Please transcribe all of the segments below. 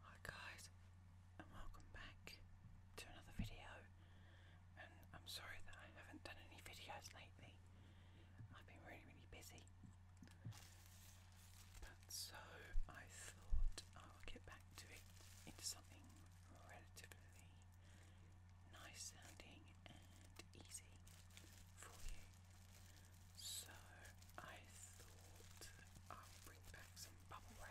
Hi guys and welcome back to another video and I'm sorry that I haven't done any videos lately. I've been really really busy. But so I thought I would get back to it into something relatively nice sounding and easy for you. So I thought I'll bring back some bubble wrap.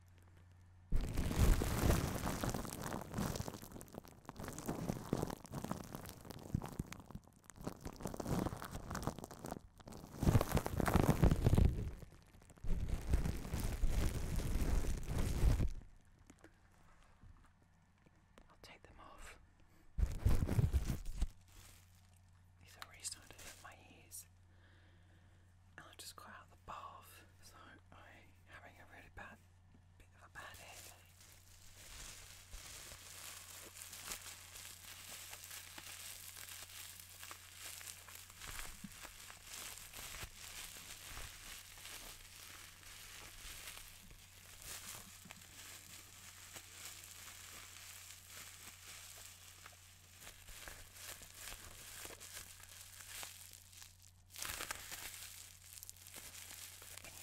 I'll take them off. These are already started at my ears and I just got out the bath, so I'm having a really bad bit of a headache. Anyway.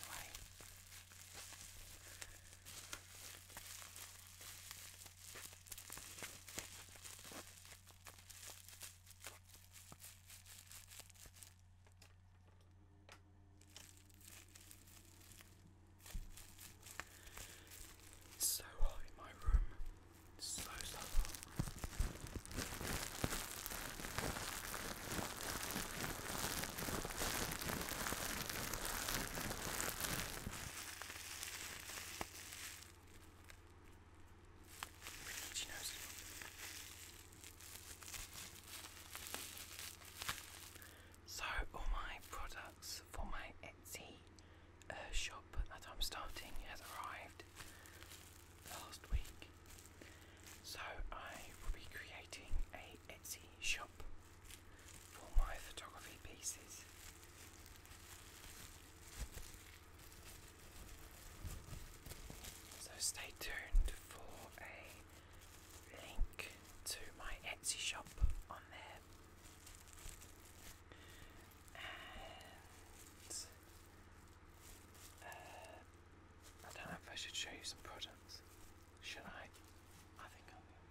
It's so hot in my room slow stuff up. So all my products for my Etsy uh, shop that I'm starting has arrived last week. So I will be creating a Etsy shop for my photography pieces. So stay tuned for a link to my Etsy shop on there. I don't know if I should show you some products. Should I? I think I will.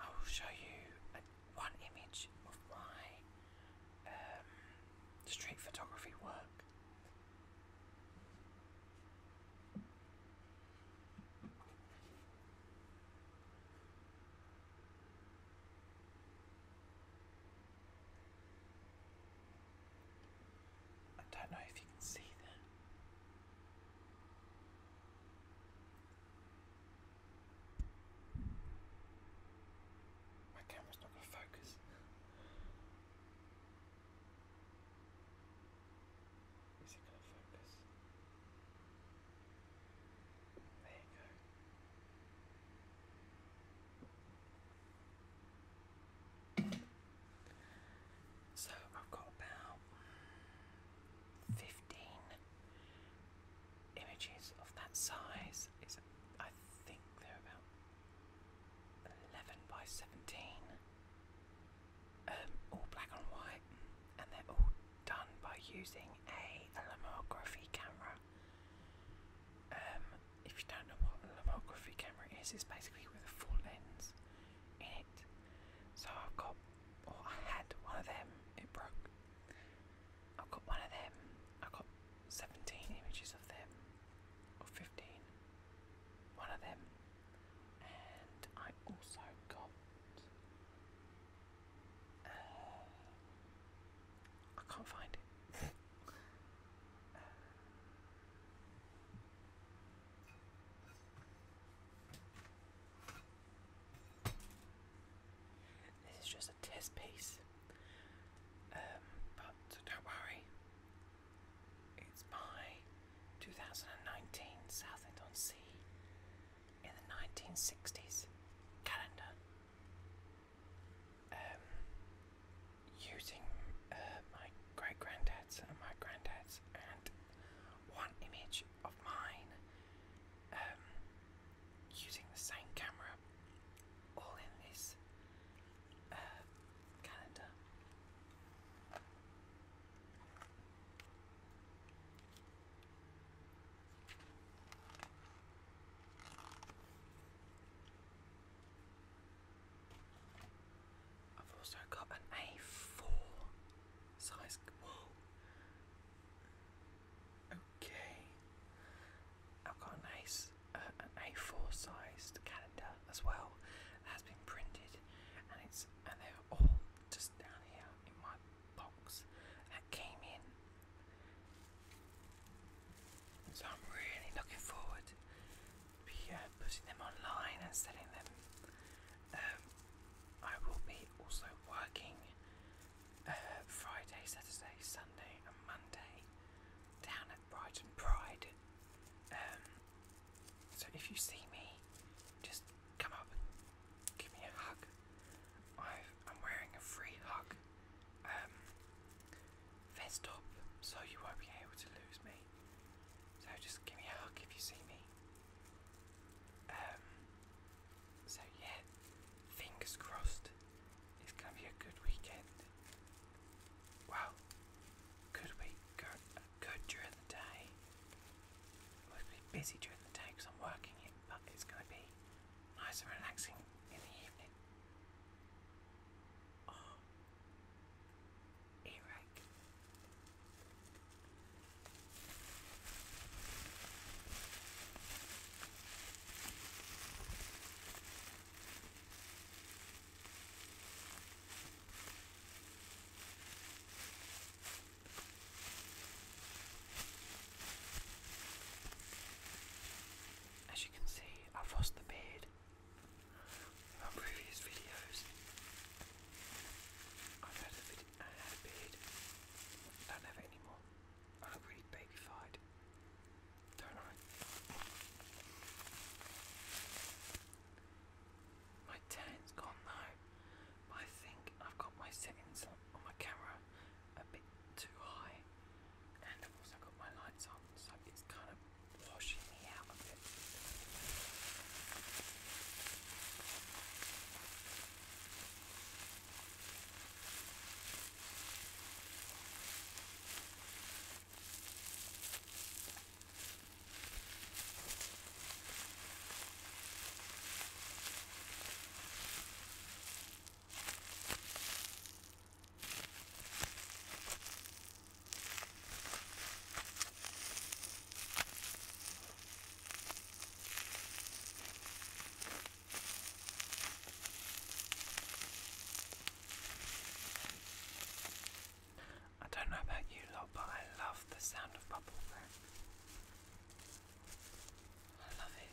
I will show you a, one image of my um, street photography work. I don't know if you can see that. My camera's not going to focus. Is it going to focus? There you go. So I've got about 15 images of that size. It's, I think they're about 11 by 17. Um, all black and white, and they're all done by using a Lomography camera. Um, if you don't know what a lomography camera is, it's basically with a full lens in it. So I've got, or I had one of them, it broke. I've got one of them, i got 17 images of them, or 15, one of them, and I also got. Uh, I can't find it. Uh, this is just a test piece, um, but don't worry. It's my 2019 Southend-on-Sea in the 1960s calendar. Um, using uh, my great granddad's and my granddad's and one image of mine um, using the same camera all in this uh, calendar. I've also got an A4 size. Okay. I've got an, Ace, uh, A4 sized calendar as well that has been printed, and it's and they're all just down here in my box that came in so I'm really looking forward to be, uh, putting them online and selling them. Um, I will be also working uh, Friday, Saturday, Sunday, and Monday down at Brighton Pride. Um, so if you see me, just come up and give me a hug. i am wearing a free hug. Um, Fist up, so you won't be able to lose me. So just give me a hug if you see me. Um, so yeah, fingers crossed, it's gonna be a good weekend. Well, good week, good, good during the day. I'll be busy during the day I'm working it, but it's gonna be nice and relaxing in the evening. Oh, Eric. As you can see, I've lost the beard. In my previous videos, I've had a, beard. I don't have it anymore. I look really babyfied, don't I? My tan's gone though, I think I've got my settings on my camera a bit too high and I've also got my lights on, so it's kind of washing me out a bit. I don't know about you lot, but I love the sound of bubble wrap. I love it.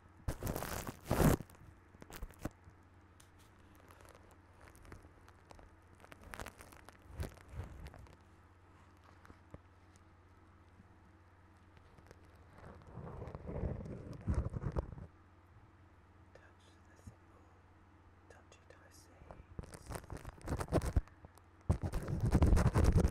Don't you dare say. Touch the symbol.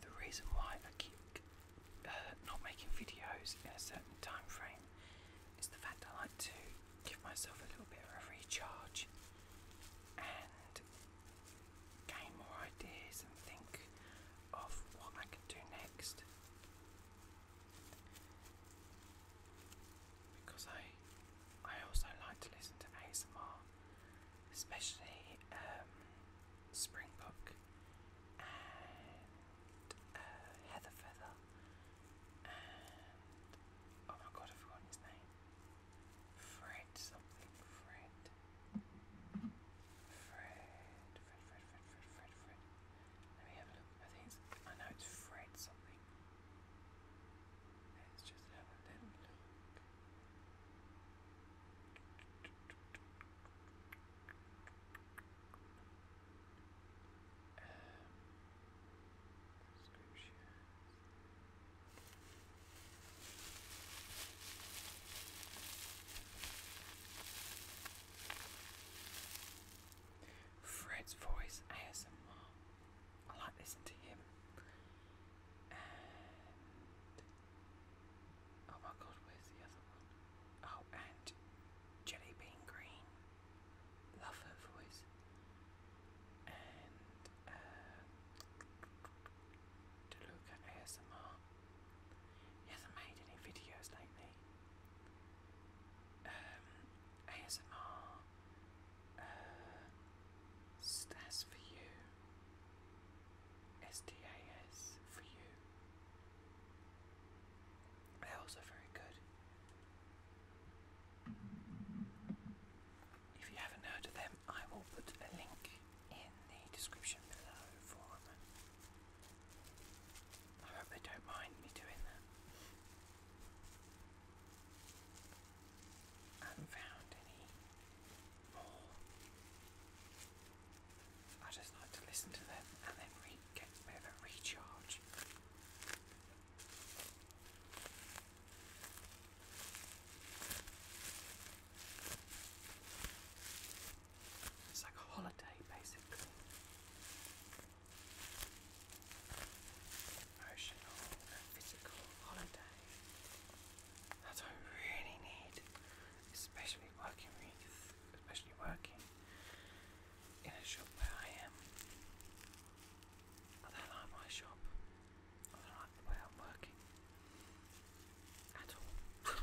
the reason why I keep uh, not making videos in a certain time frame is the fact I like to give myself a little bit of a recharge and gain more ideas and think of what I can do next. Because I, I also like to listen to ASMR, especially um, Springbok, and uh, Heather Feather and oh my god, i name. Fred something, Fred. Fred, Fred, Fred, Fred, Fred, Fred, Let me have a look. I think I know it's Fred something. Let's just have a little look. Fred's voice ASMR. I like listening to him. Oh my god, where's the other one? Oh, and Jelly Green. Love her And uh, to ASMR. He hasn't made any videos lately. Um, ASMR uh, for you. SDAS for you. They're also very good. If you haven't heard of them, I will put a link in the description below for I hope they don't mind me doing that. haven't found any I just like to listen to them and then re get a bit of a recharge. It's like a holiday basically. Emotional physical holiday. That's what I really need especially working with, especially working in a shop where I am. I don't like my shop. I don't like the way I'm working at all.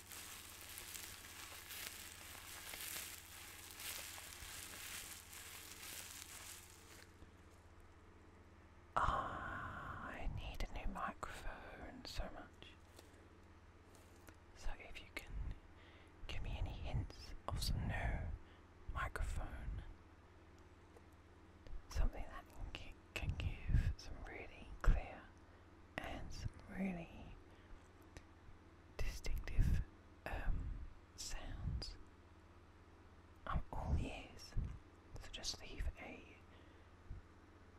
I need a new microphone so much. So if you can give me any hints of some new microphone, something that can, give some really clear and some really distinctive um, sounds. i all ears, so just leave a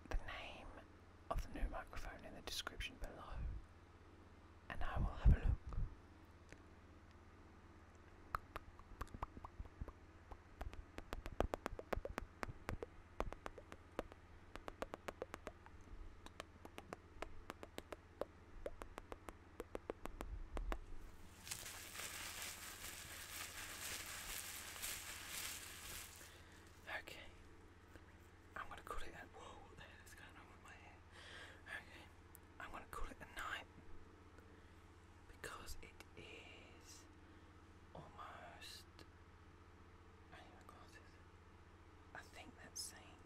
the name of the new microphone in the description below, and I will have a look. Okay, I'm gonna call it a whoa. What going on with my hair? Okay, I'm gonna call it a night because it is almost. I need I think that's saying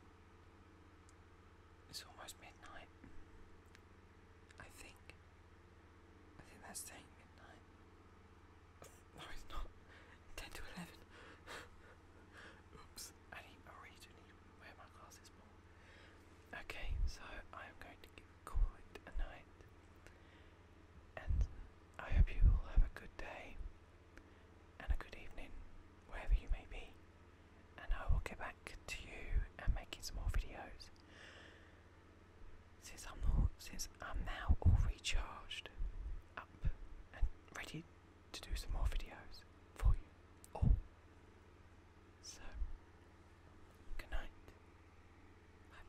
it's almost midnight. I think. I think that's saying midnight. No, it's not. 10 to 11. Oops. I, need, I really wear my glasses more. Okay, so I'm going to call it a night. And I hope you all have a good day and a good evening, wherever you may be. And I will get back to you and making some more videos. Since I'm not, since I'm now all recharged, up and ready to do some more videos for you all. So, good night. Bye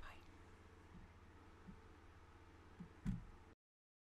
bye.